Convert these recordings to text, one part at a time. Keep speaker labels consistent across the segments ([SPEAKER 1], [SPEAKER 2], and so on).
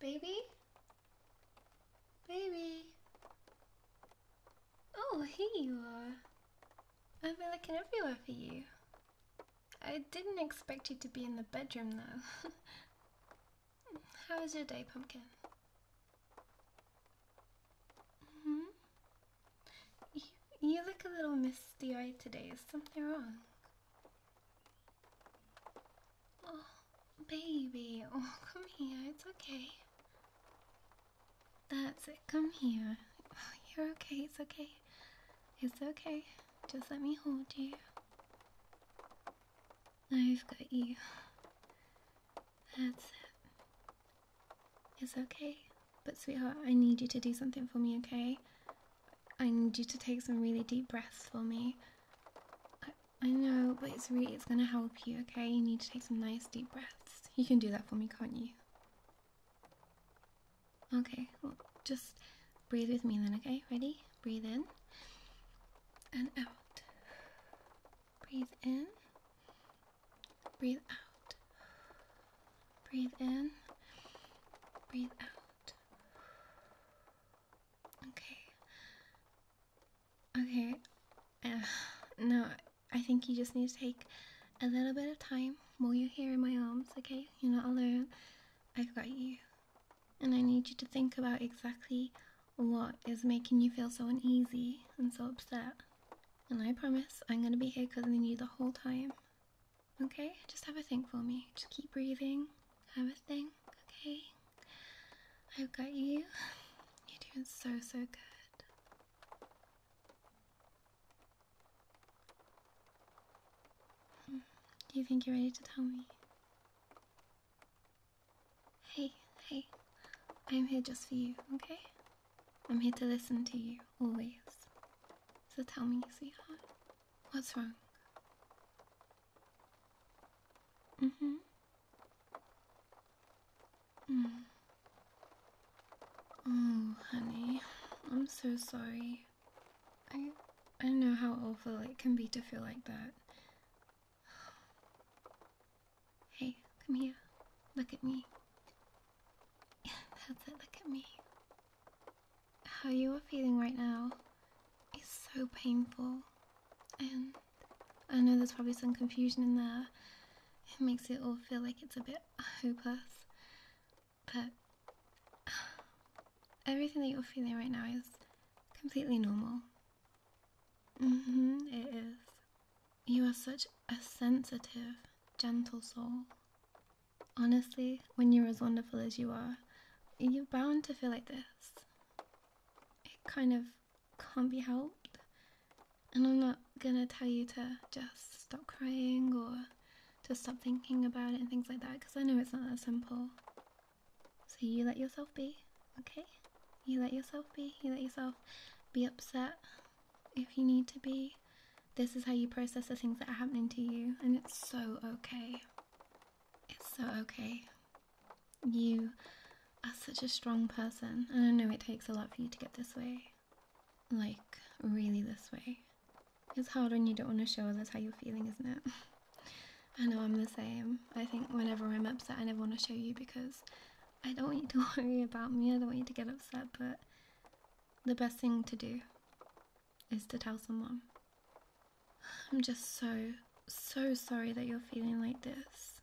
[SPEAKER 1] Baby? Baby? Oh, here you are. I've been looking everywhere for you. I didn't expect you to be in the bedroom though. How was your day, Pumpkin? hmm. You, you look a little misty eyed today. Is something wrong? Oh, baby. Oh, come here. It's okay. That's it. Come here. you're okay. It's okay. It's okay. Just let me hold you. I've got you. That's it. It's okay. But, sweetheart, I need you to do something for me, okay? I need you to take some really deep breaths for me. I, I know, but it's really, it's gonna help you, okay? You need to take some nice deep breaths. You can do that for me, can't you? Okay, well, just breathe with me then, okay? Ready? Breathe in and out. Breathe in Breathe out. Breathe in. Breathe out. Okay. Okay. Uh, no, I think you just need to take a little bit of time while you're here in my arms, okay? You're not alone. I've got you. And I need you to think about exactly what is making you feel so uneasy and so upset. And I promise I'm gonna be here cuddling you the whole time. Okay? Just have a think for me. Just keep breathing. Have a think, okay? I've got you. You're doing so, so good. Hmm. Do you think you're ready to tell me? Hey, hey, I'm here just for you, okay? I'm here to listen to you, always. So tell me, sweetheart, what's wrong? Mm-hmm. Mm. Oh, honey, I'm so sorry. I I know how awful it can be to feel like that. Hey, come here. Look at me. That's it, look at me. How you are feeling right now is so painful. And I know there's probably some confusion in there. It makes it all feel like it's a bit hopeless. But everything that you're feeling right now is completely normal hmm, it is. You are such a sensitive, gentle soul. Honestly, when you're as wonderful as you are, you're bound to feel like this. It kind of can't be helped. And I'm not gonna tell you to just stop crying or to stop thinking about it and things like that because I know it's not that simple. So you let yourself be, okay? You let yourself be. You let yourself be upset if you need to be. This is how you process the things that are happening to you, and it's so okay. It's so okay. You are such a strong person, and I know it takes a lot for you to get this way. Like, really, this way. It's hard when you don't want to show us how you're feeling, isn't it? I know I'm the same. I think whenever I'm upset, I never want to show you because I don't want you to worry about me, I don't want you to get upset, but the best thing to do is to tell someone. I'm just so, so sorry that you're feeling like this.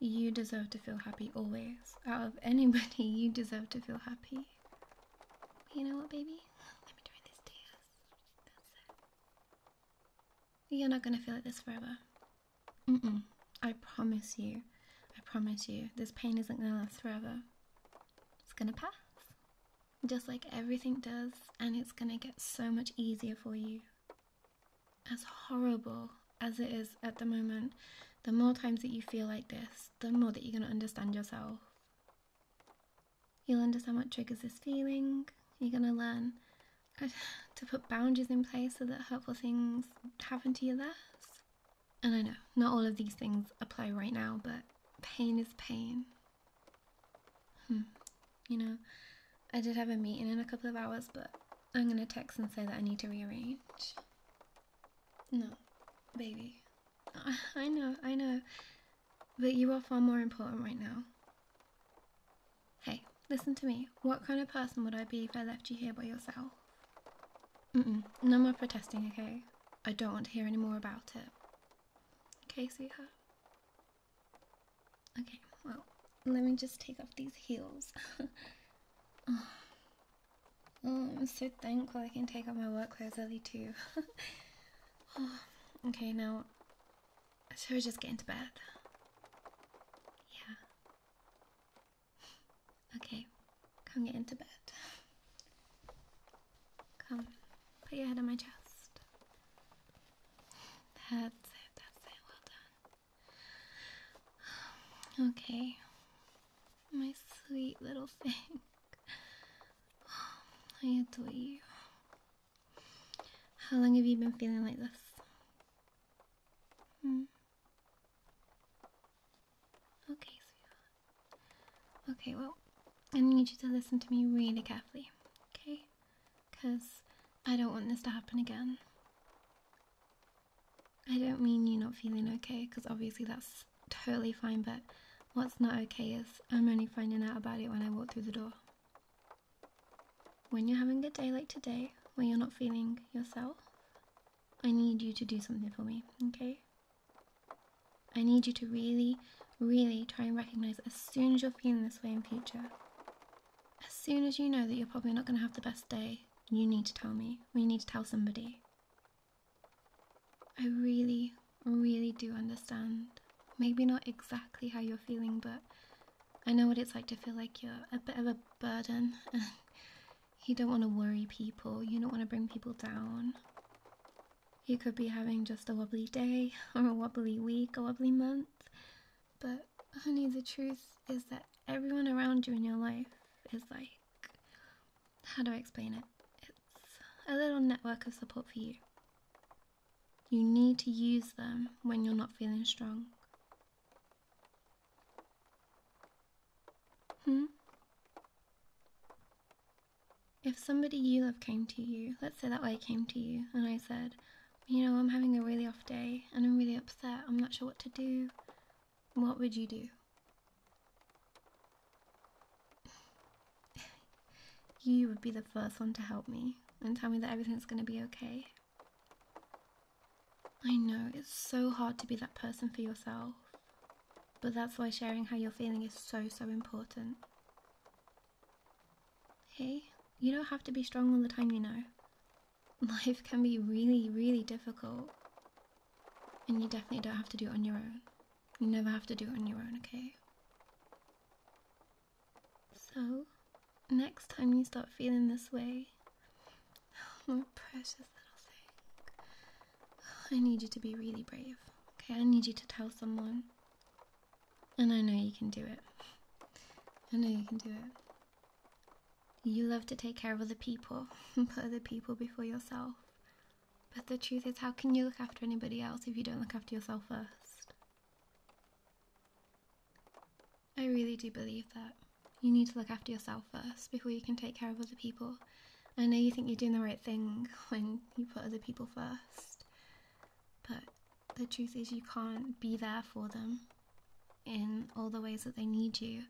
[SPEAKER 1] You deserve to feel happy always. Out of anybody, you deserve to feel happy. You know what, baby? Let me try this to you're not gonna feel like this forever. I promise you. I promise you. This pain isn't gonna last forever. It's gonna pass. Just like everything does, and it's gonna get so much easier for you. As horrible as it is at the moment, the more times that you feel like this, the more that you're gonna understand yourself. You'll understand what triggers this feeling. You're gonna learn to put boundaries in place so that hurtful things happen to you less. And I know not all of these things apply right now, but pain is pain. Hmm, you know, I did have a meeting in a couple of hours, but I'm gonna text and say that I need to rearrange. No, baby. I know, I know. But you are far more important right now. Hey, listen to me. What kind of person would I be if I left you here by yourself? no more protesting, okay? I don't want to hear any more about it. Okay, sweetheart? Okay, well, let me just take off these heels. Oh, I'm so thankful I can take off my work clothes early too. Oh, okay, now should we just get into bed? Yeah. Okay, come get into bed. Come, put your head on my chest. That's it, that's it, well done. Okay, my sweet little thing. I adore you. How long have you been feeling like this? Hmm. Okay, Okay, well, I need you to listen to me really carefully, okay? Because I don't want this to happen again. I don't mean you not feeling okay, because obviously that's totally fine, but what's not okay is I'm only finding out about it when I walk through the door. When you're having a day like today, when you're not feeling yourself, I need you to do something for me, okay? I need you to really, really try and recognize as soon as you're feeling this way in future. As soon as you know that you're probably not going to have the best day, you need to tell me, you need to tell somebody. I really, really do understand. Maybe not exactly how you're feeling, but I know what it's like to feel like you're a bit of a burden. you don't want to worry people, you don't want to bring people down. You could be having just a wobbly day, or a wobbly week, a wobbly month. But, honey, the truth is that everyone around you in your life is like how do I explain it? It's a little network of support for you. You need to use them when you're not feeling strong. Hmm? If somebody you love came to you, let's say that I came to you and I said, you know, I'm having a really off day and I'm really upset, I'm not sure what to do, what would you do? you would be the first one to help me and tell me that everything's going to be okay. I know it's so hard to be that person for yourself, but that's why sharing how you're feeling is so, so important. Hey, you don't have to be strong all the time, you know. Life can be really, really difficult. And you definitely don't have to do it on your own. You never have to do it on your own, okay? So, next time you start feeling this way, oh, my precious little thing, oh, I need you to be really brave. Okay, I need you to tell someone. And I know you can do it. I know you can do it. You love to take care of other people and put other people before yourself. But the truth is, how can you look after anybody else if you don't look after yourself first? I really do believe that. You need to look after yourself first before you can take care of other people. I know you think you're doing the right thing when you put other people first, but the truth is, you can't be there for them in all the ways that they need you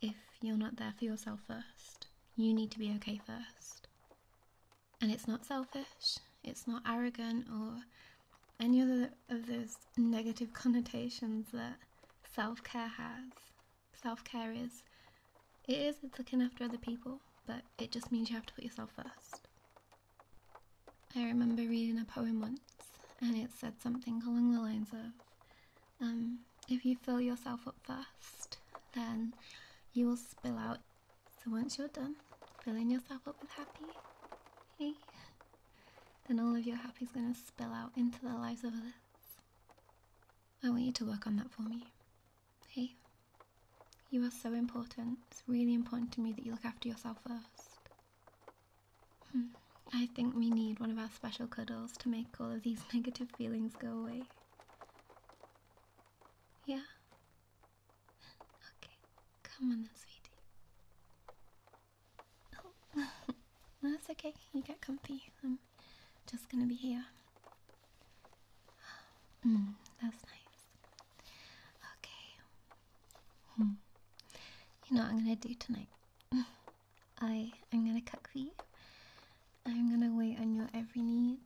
[SPEAKER 1] if you're not there for yourself first. You need to be okay first. And it's not selfish, it's not arrogant or any other of those negative connotations that self care has. Self care is, it is, it's looking after other people, but it just means you have to put yourself first. I remember reading a poem once and it said something along the lines of, um, if you fill yourself up first, then you will spill out so once you're done filling yourself up with happy, then all of your happy is going to spill out into the lives of others. I want you to work on that for me. Hey, you are so important. It's really important to me that you look after yourself first. Hmm, I think we need one of our special cuddles to make all of these negative feelings go away. Yeah, Okay, come on now, sweetie. that's oh, okay. You get comfy. I'm just gonna be here. Mm, that's nice. Okay. Hmm. You know what I'm gonna do tonight? I am gonna cook for you. I'm gonna wait on your every need.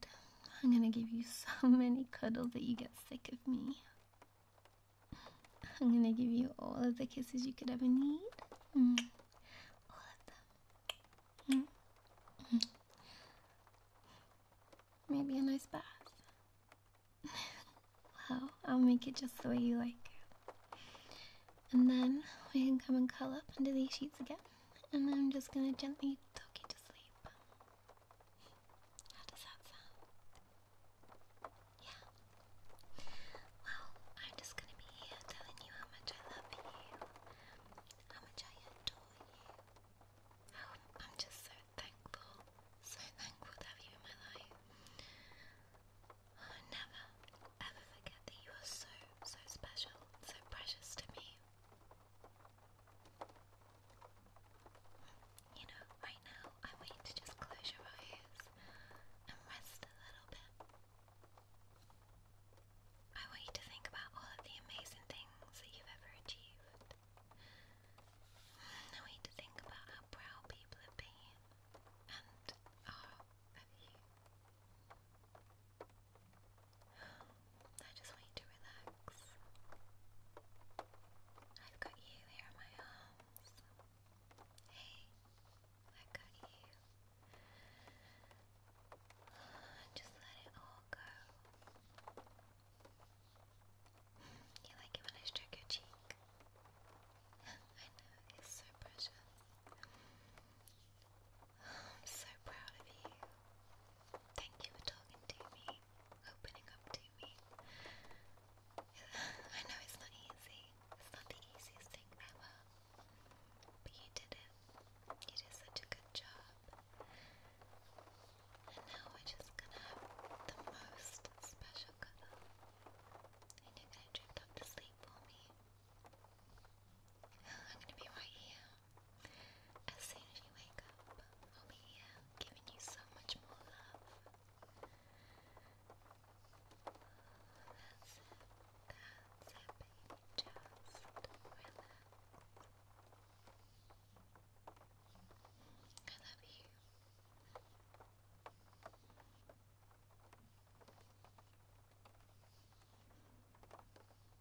[SPEAKER 1] I'm gonna give you so many cuddles that you get sick of me. I'm gonna give you all of the kisses you could ever need. Mm. Mm. Mm. Maybe a nice bath. well, I'll make it just the way you like. And then we can come and curl up under these sheets again. And I'm just gonna gently tuck you to sleep. How does that sound? Yeah. Well, I'm just gonna be here telling you how much I love you, how much I adore you, oh, I'm just so thankful, so thankful to have you in my life. I'll never, ever forget that you are so, so special, so precious to me. You know, right now I want you to just close your eyes and rest a little bit. I want you to think about all of the amazing things that you've ever achieved. I want you to think about how proud people have been and are of you. I just want you to relax. I've got you here in my arms. Hey, i got you. Just let it all go. You like it when I stroke your cheek? I know, it's so precious. I'm so proud of you. Thank you for talking to me, opening up to me. I know it's not easy. It's not the easiest thing ever. But you did it. You did such a good job. And now we're just gonna have the most special cuddle. And you're gonna drift off to sleep for me. I'm gonna be right here. As soon as you wake up, I'll be here uh, giving you so much more love. That's it. That's it, baby. Just relax. I love you.